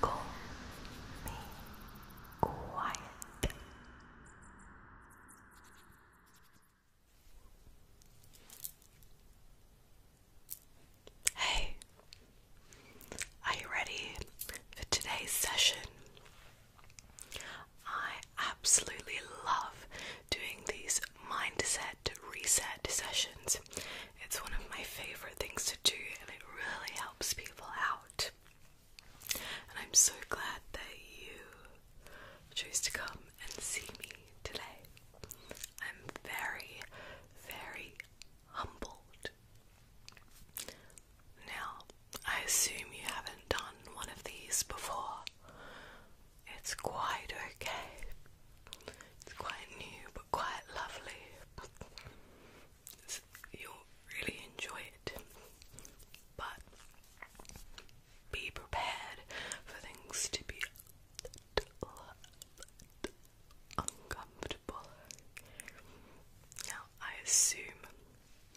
Go be quiet. Hey, are you ready for today's session? I absolutely love doing these mindset reset sessions. It's one of my favorite things to do, and it really helps people out. And I'm so glad that you chose to come and see me today. I'm very, very humbled. Now, I assume you haven't done one of these before. It's quite okay. It's quite new, quite lovely. you'll really enjoy it, but be prepared for things to be uncomfortable. Now, I assume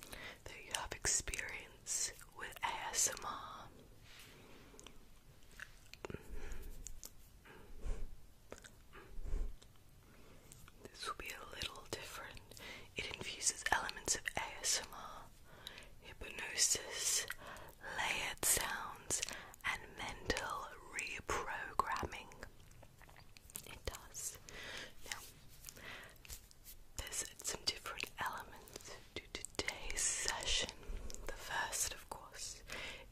that you have experience with ASMR. This will be a little different. It infuses elements of ASMR, hypnosis, layered sounds, and mental reprogramming. It does. Now, there's some different elements to today's session. The first, of course,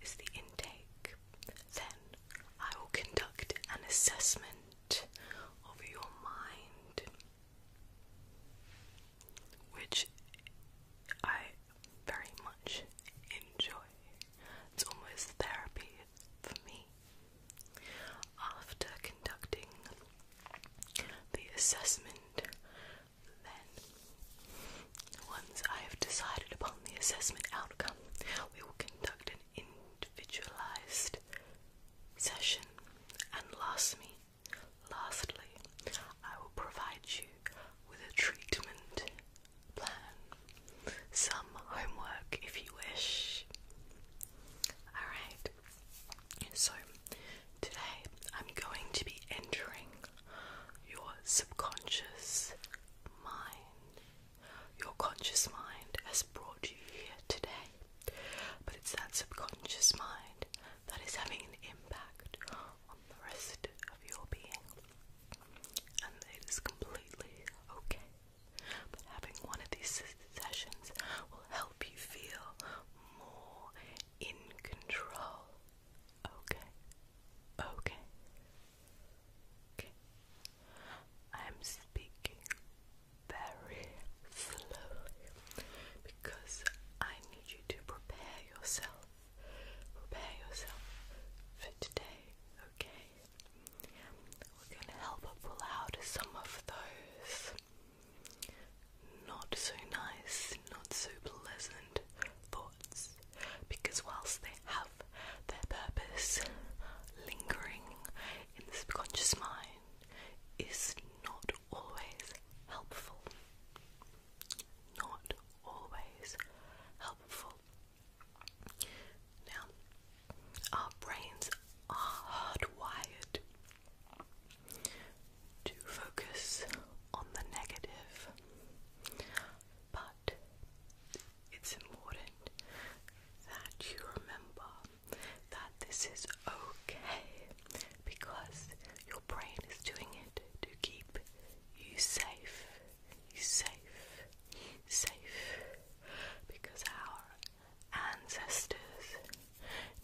is the take, then I will conduct an assessment of your mind, which I very much enjoy. It's almost therapy for me. After conducting the assessment, then, once I have decided upon the assessment outcome, we will conduct an individualized session. And lastly, lastly, I will provide you with a treatment plan, some homework if you wish. Alright, so today I'm going to be entering your subconscious mind. Your conscious mind has brought you here today, but it's that subconscious mind that is having an impact on the rest of your being. And it is completely okay. But having one of these sessions will help you feel more in control Okay. Okay. I'm speaking very slowly because I need you to prepare yourself. Prepare yourself for today, okay? We're gonna help her pull out some of those not so nice, not so pleasant thoughts because whilst they have their purpose lingering in the subconscious mind is not always helpful not always helpful now our brains are hardwired to focus on the negative but it's important that you remember that this is okay because your brain is doing it to keep you safe. safe, safe because our ancestors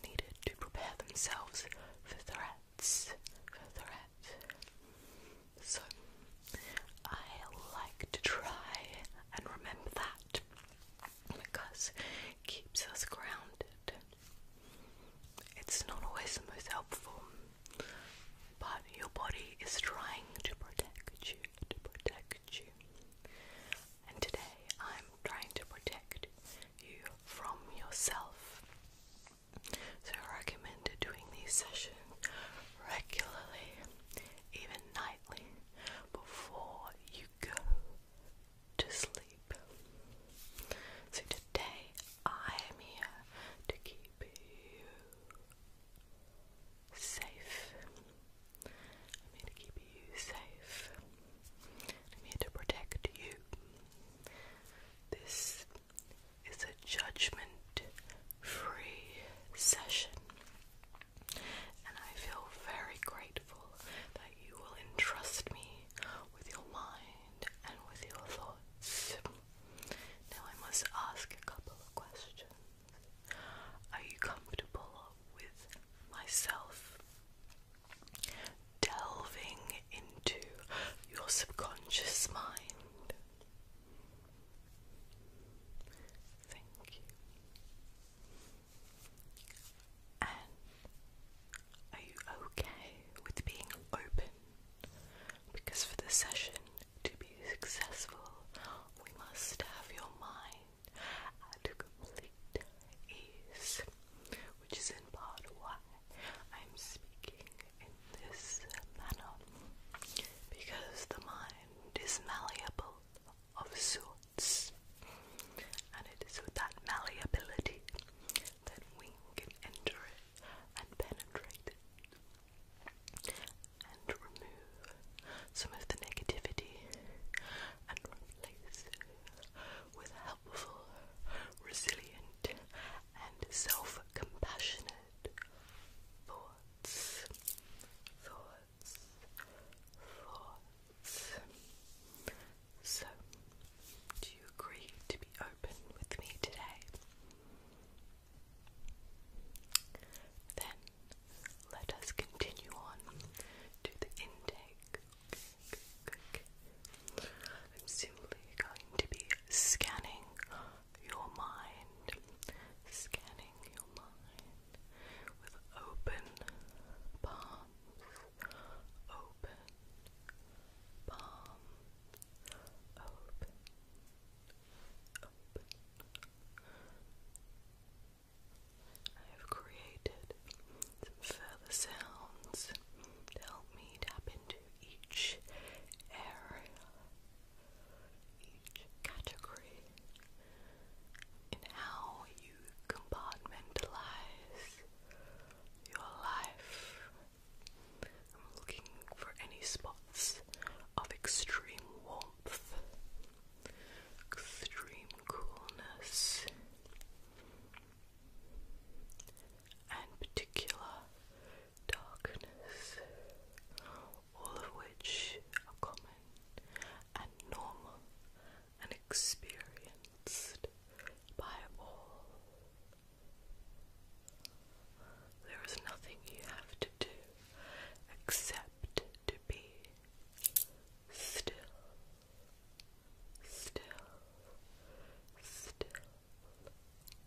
needed to prepare themselves for threats, for threats. So I like to try and remember that because keeps us grounded. It's not always the most helpful, but your body is trying to protect you, to protect you. And today I'm trying to protect you from yourself. So I recommend doing these sessions regularly, even nightly, before you go to sleep. So today I am here to keep you safe. I'm here to keep you safe. I'm here to protect you. This it's a judgment free session. And I feel very grateful that you will entrust me with your mind and with your thoughts. Now, I must ask a couple of questions. Are you comfortable with myself delving into your subconscious mind? Thank you. And are you okay with being open? Because for the session to be successful, we must have your mind at complete ease, which is in part why I'm speaking in this manner because the mind is malleable of sorts and it is with that malleability that we can enter it and penetrate it and remove some of the negativity and replace it with helpful, resilient and self-compassionate thoughts, thoughts, thoughts. So, do you agree to be open with me today? Then let us continue on to the intake. I'm simply going to be scanning your mind, scanning your mind with open palms, open palm, open, open. I have created some further sounds to help me tap into each area each category in how you compartmentalize your life. I'm looking for any spots of extreme warmth, extreme coolness, and particular darkness, all of which are common and normal and experienced by all. There is nothing you have to do except to be still, still, still.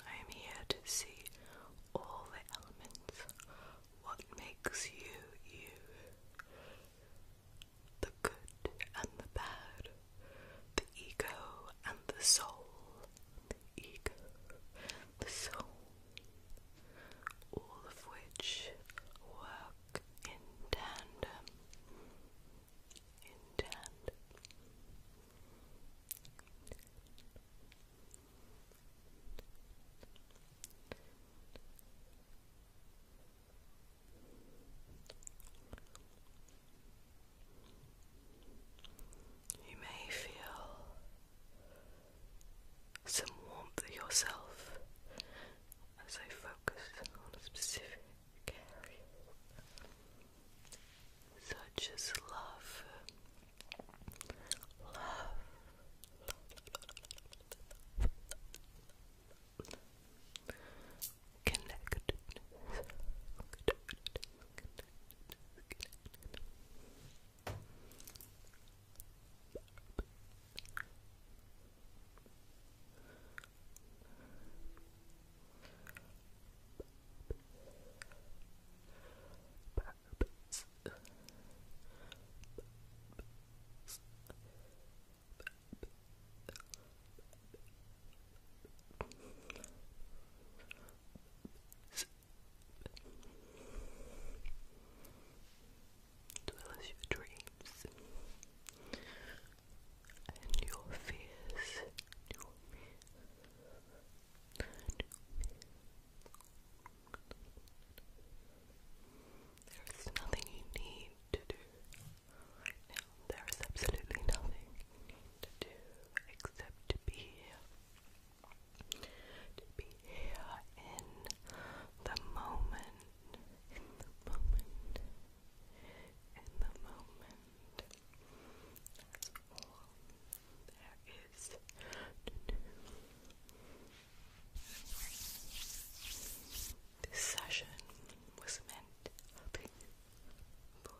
I am here to see all the elements. What makes you you? The good and the bad, the ego and the soul, the ego, the soul, all of which work in tandem. In tandem. You may feel some warmth yourself as I focus on specific area such as love, love, love, Bubs. Bubs. as your dreams and your fears. There's nothing you need to do right now. There is absolutely nothing to do except to be here. To be here in the moment. In the moment. In the moment. That's all this session was meant to be for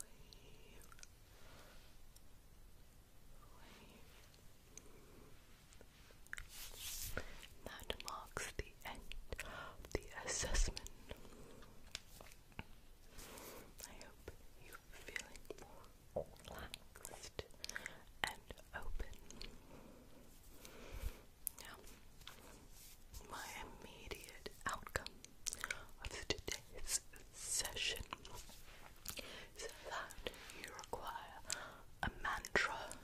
That marks the end of the assessment. I hope you feeling relaxed and open. Now, my immediate outcome of today's session is that you require a mantra,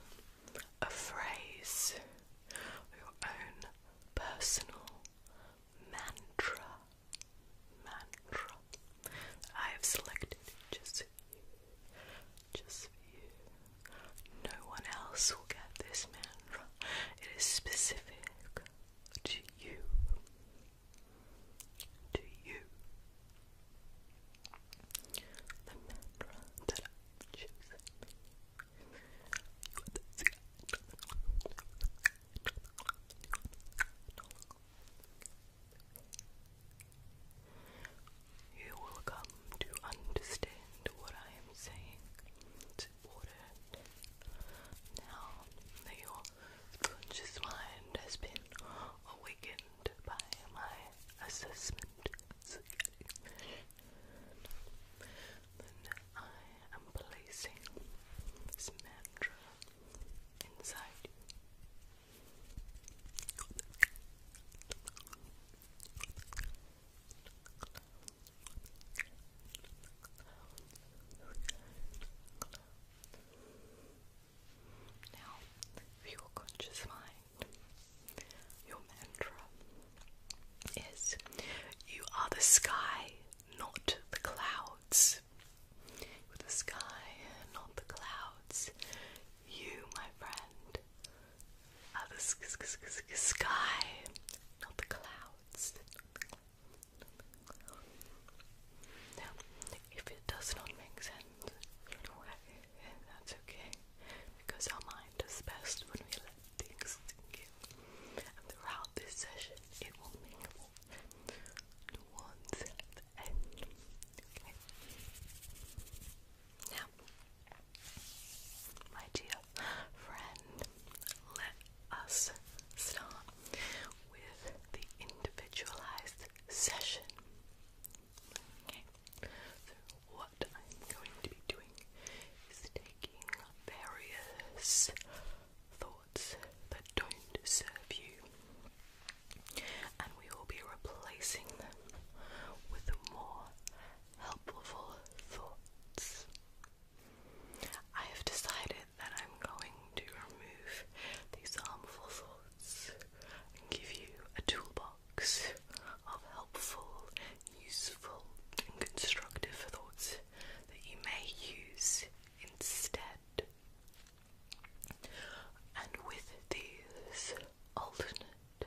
a phrase, your own personal mantra mantra I have selected just you. Just you. No one else will get this mantra. It is specific to you. To you. The mantra that I've chosen. You you will come to understand what I am saying. now that your conscious mind has been awakened by my assessment I am placing this mantra inside now, your conscious mind, your mantra is You are the sky, not the clouds with the sky, not the clouds. You, my friend, are the sky, not the clouds. if it does not make sense, that's okay, because our mind is best when we let things sink in. And throughout this session, it will make more nuance end. Okay. Now, my dear friend, let us start with the individualized session. So, what I'm going to be doing is taking various thoughts that don't serve you, and we will be replacing them with more helpful thoughts. I have decided that I'm going to remove these harmful thoughts and give you a toolbox of helpful, useful, and constructive thoughts that you may use instead. And with these alternate,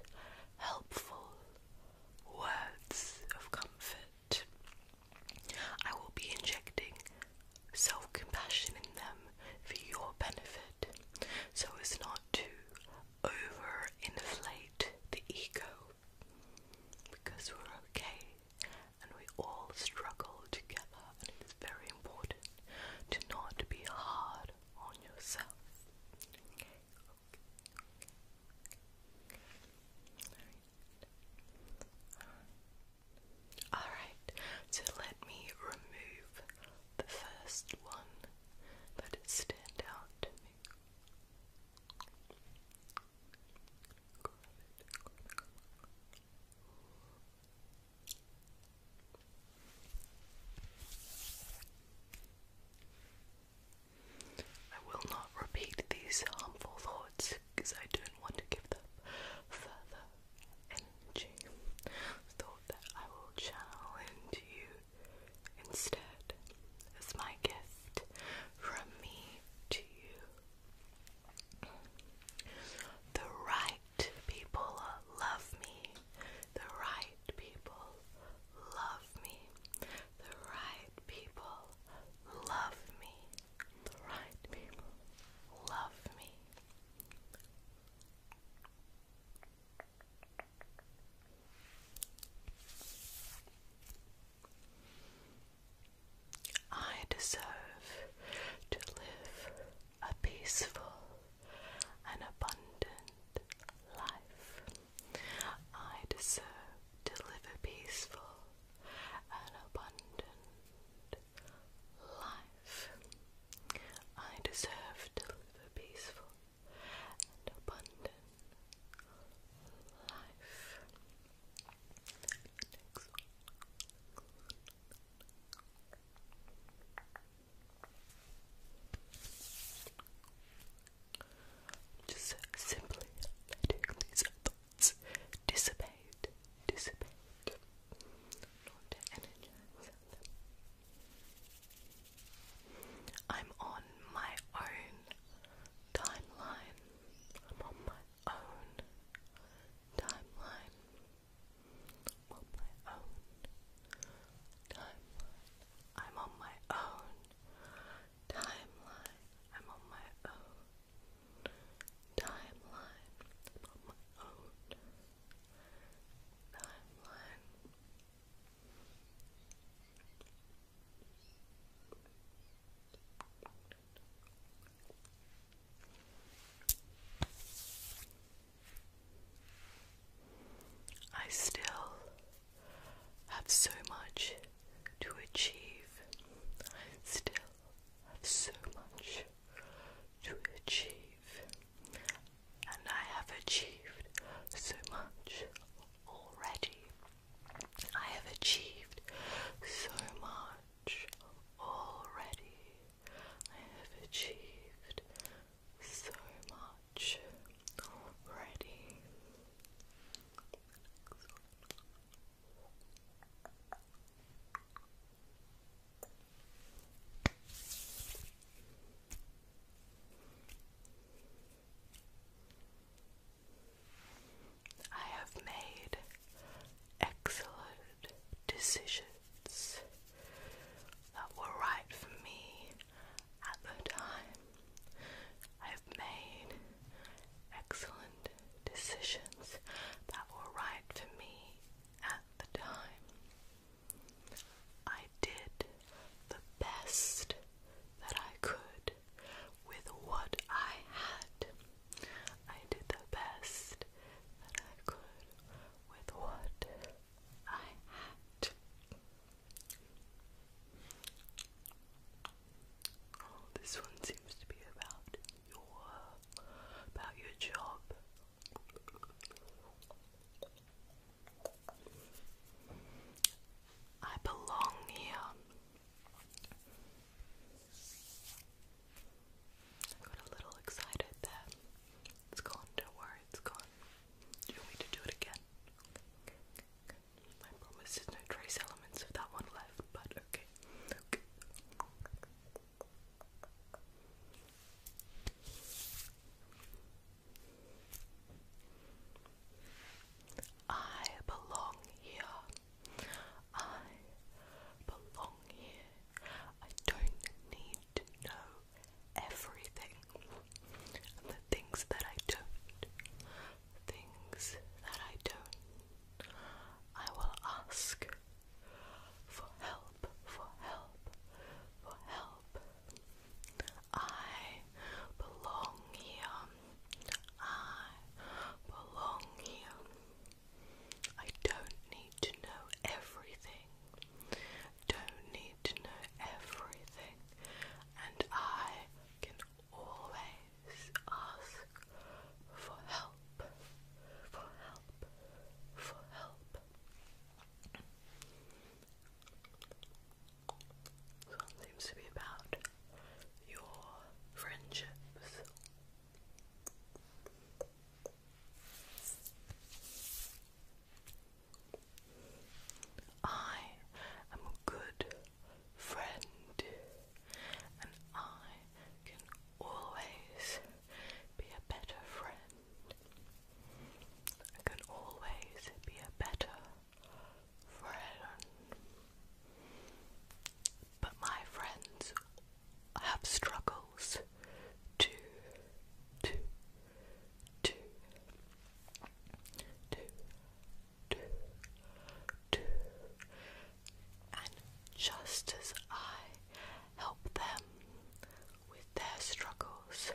helpful words of comfort, I will be injecting self compassion in them for your benefit so as not to overinflate the ego because we're okay and we all struggle together it's very important to not be hard on yourself. Alright. so let me remove the first one that stand out I will not repeat these harmful thoughts because I don't want to give them further energy. Thought that I will channel into you instead as my gift from me to you. The right people love me. The right people love me. The right people love me. The right people love me. I deserve to live a peaceful and abundant life. I deserve to live a peaceful and abundant life. I deserve to live a peaceful and abundant life. Just simply let these thoughts dissipate, dissipate, I'm on my own timeline. I'm on my own timeline. I'm on my own timeline. I'm on my own timeline. I'm on my own timeline. on my own timeline. I still have so much to achieve. I still have so much to achieve. And I have achieved so much already. I have achieved so much already. I have achieved so much already. I have made excellent decisions that were right for me at the time. I've made excellent decisions that were right for me at the time. I did the best that I could with what I had. I did the best that I could with what I oh, this one seems to be about your about your job. I belong here. I got a little excited that it's gone, don't worry, it's gone. Do you want to do it again? Okay, promise there's no trace elements of that one left, but okay. I belong here. I belong here. I don't need to know everything. the things that I don't, things that I don't, I will ask for help, for help, for help. I belong here. I belong here. I don't need to know everything don't need to know everything, and I can always ask for help, for help, for help. So it seems to be about your friendships. I am a good friend, and I can always be a better friend. I can always be a better friend. But my friends have struggles too, too, two, two, two, two, and just as I help them with their struggles,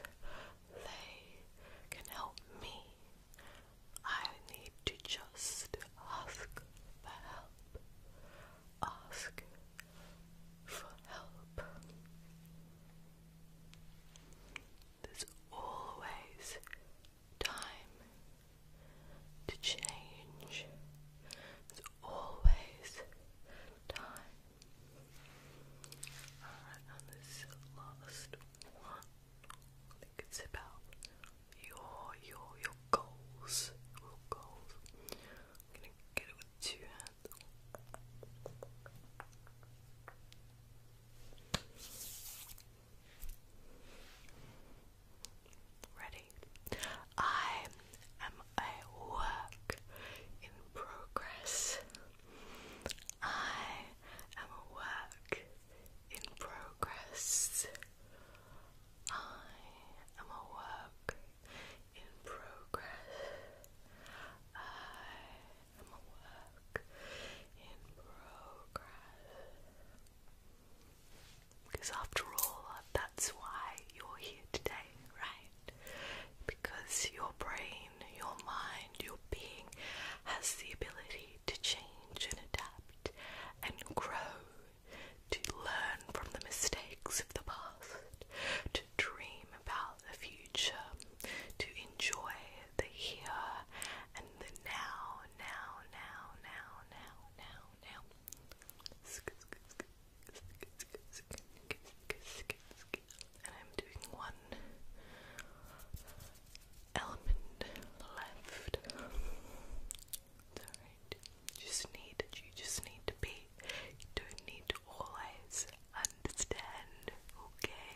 they can help me. I need to just ask for help. Ask for help. There's always time to change. There's always time. Alright, and this last one. it's about your your your goals. Your goals. I'm gonna get it with two hands. Ready? I am a work in progress. I am a work in progress. I am a work in progress. I am a work in progress. Because after all, uh, that's why you're here today, right? Because your brain, your mind, your being has the ability to change and adapt and grow, to learn from the mistakes of the past, dream about the future, to enjoy the here and the now, now, now, now, now, now, now. And I'm doing one element left. just need you just need to be okay? You don't need to always understand, okay?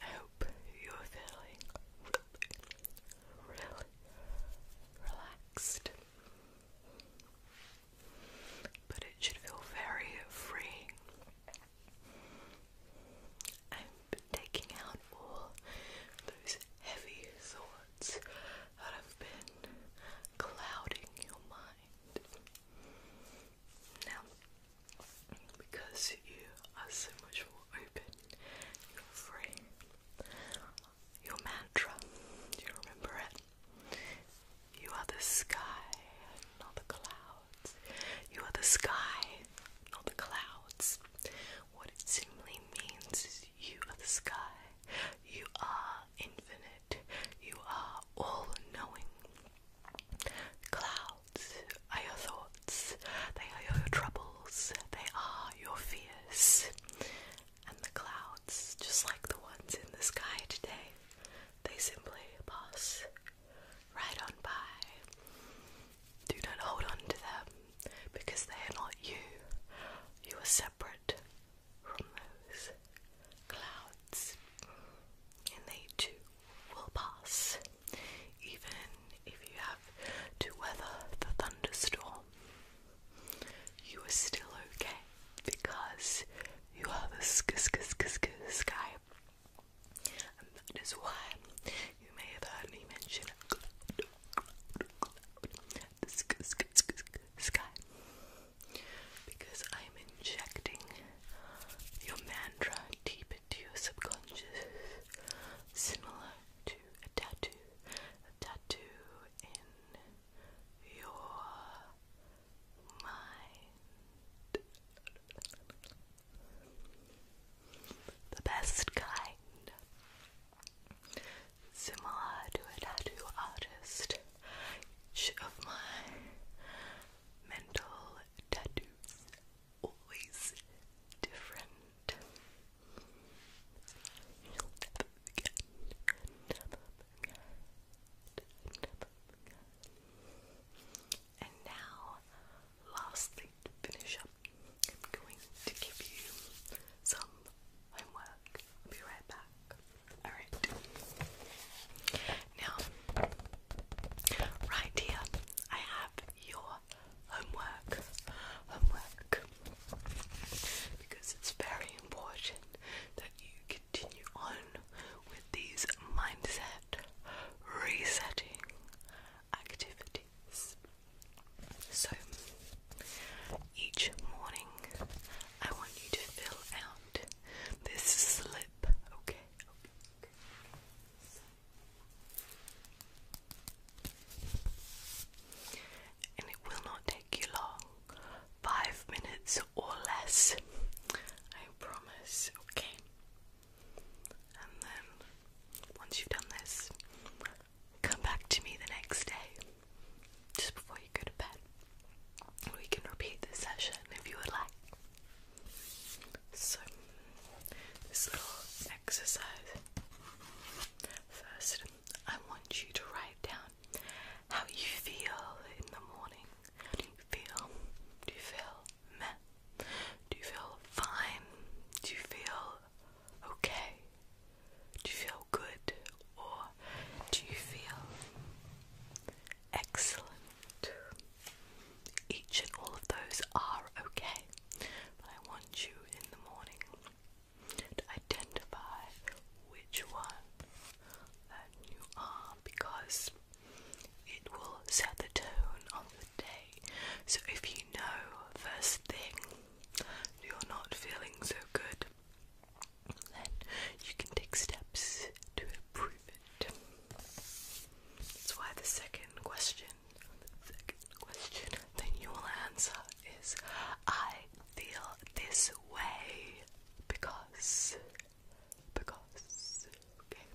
I hope you're feeling really, relaxed. But it should feel very freeing. I'm taking out all those heavy thoughts that have been clouding your mind. Now, because you are so much more open, you're free. Your mantra, do you remember it? You are the sky, not the clouds. You are the sky, not the clouds. What it simply means is you are the sky. You are infinite. You are all knowing. Clouds are your thoughts, they are your troubles, they are your fears. And the clouds, just like the ones in the sky today, they simply pass right on by. Do not hold on to them because they are not you. You are separate from those clouds, and they too will pass, even if you have to weather the thunderstorm. You are still okay because you have a sk sk sk sk sky, and that is why you may have heard me mention cloud, cloud, cloud, the sk sk sk sk sky, because I am injecting your mantra quite deep into your subconscious, similar to a tattoo. A tattoo in your mind. The best kind. Similar to a tattoo artist, each of my mental tattoos always different. you And now, lastly, to finish up, I'm going to give you some homework. I'll be right back. Alright. Now, Right here, I have your homework. Homework. Because it's very important that you continue on with these mindset resetting activities. So, each morning, I want you to fill out this slip, okay? And it will not take you long five minutes or less, I promise, okay? And then once you've done this, come back to me the next day just before you go to bed. We can repeat this session if you would like. So, this little exercise. First, I want you to write down how you feel in the morning. Do you feel? Do you feel meh? Do you feel fine? Do you feel okay? Do you feel good? Or do you feel excellent? Each and all of those are okay, but I want you in the morning to identify which one that you are because it will set the tone on the day. So if you know first thing you're not feeling so good, then you can take steps to improve it. That's why the second question, the second answer is I feel this way because, because, okay.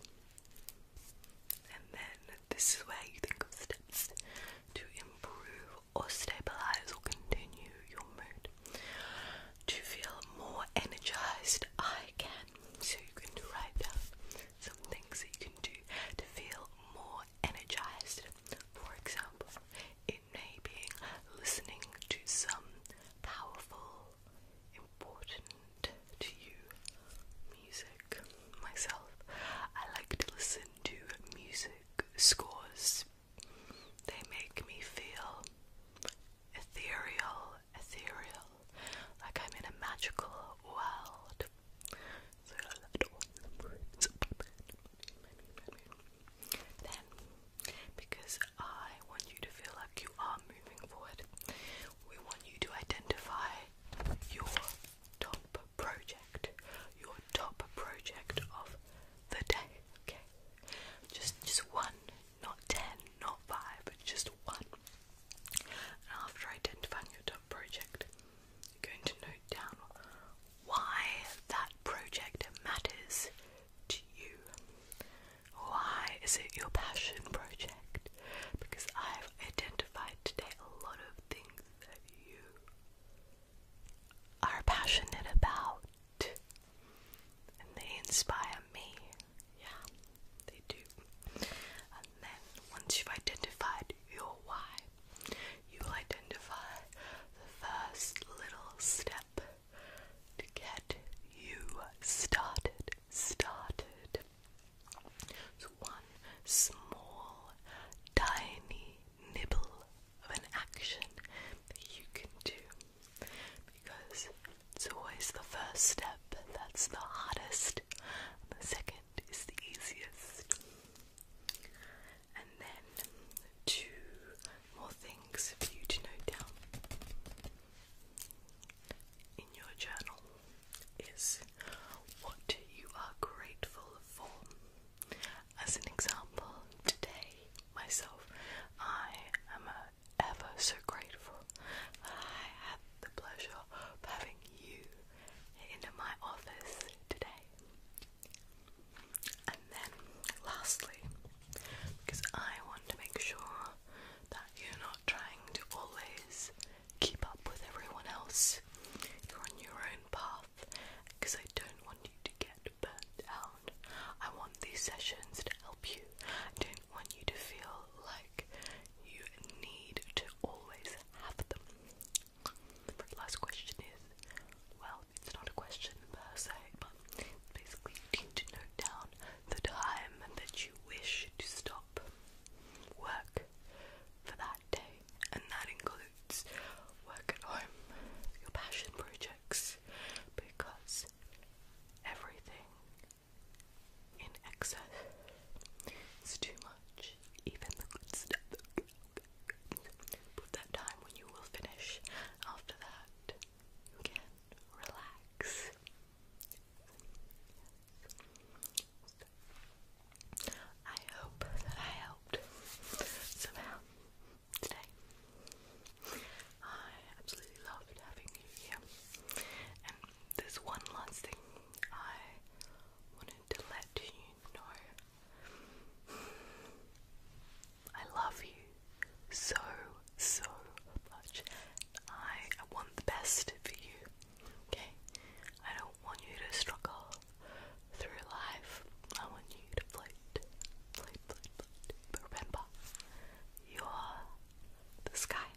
And then this is where you think of steps to improve or stabilize or continue your mood. To feel more energized, I can so you can write down some things that you can do to feel more energized. For example, it may be listening to some powerful, important to you music. Myself, I like to listen to music scores. They make me feel ethereal ethereal, like I'm in a magical world. So that was Then, because I want you to feel like you are moving forward, we want you to identify your top project, your top project of the day. Okay, just just one, not ten, not five, just one after identifying your top project, you're going to note down why that project matters to you. Why is it your passion project? Because I've identified today a lot of things that you are passionate about and they inspire me. Yeah. They do. And then once you've identified your why, you'll identify the first little step to get you started. Started. So one small, tiny nibble of an action that you can do because it's always the first step that's the hardest, the second is the easiest. And then two more things for you to note down in your journal is what you are grateful for. As an example, today myself, I am uh, ever so grateful. I had the pleasure of having you in my office today. And then, lastly, because I want to make sure that you're not trying to always keep up with everyone else, you're on your own path, because I don't want you to get burnt out. I want these sessions to help you. I don't want you to feel like you need to always have The last question is well, it's not a question per se, but basically you need to note down the time that you wish to stop work for that day, and that includes work at home, your passion projects, because everything in excess. It's too much, even the good stuff. Put that time when you will finish. After that, you can relax. I hope that I helped somehow today. I absolutely loved having you here. And there's one last thing I wanted to let you know I love you so, so much. I, want the best for you, okay? I don't want you to struggle through life. I want you to float, float, float, float. But remember, you are the sky.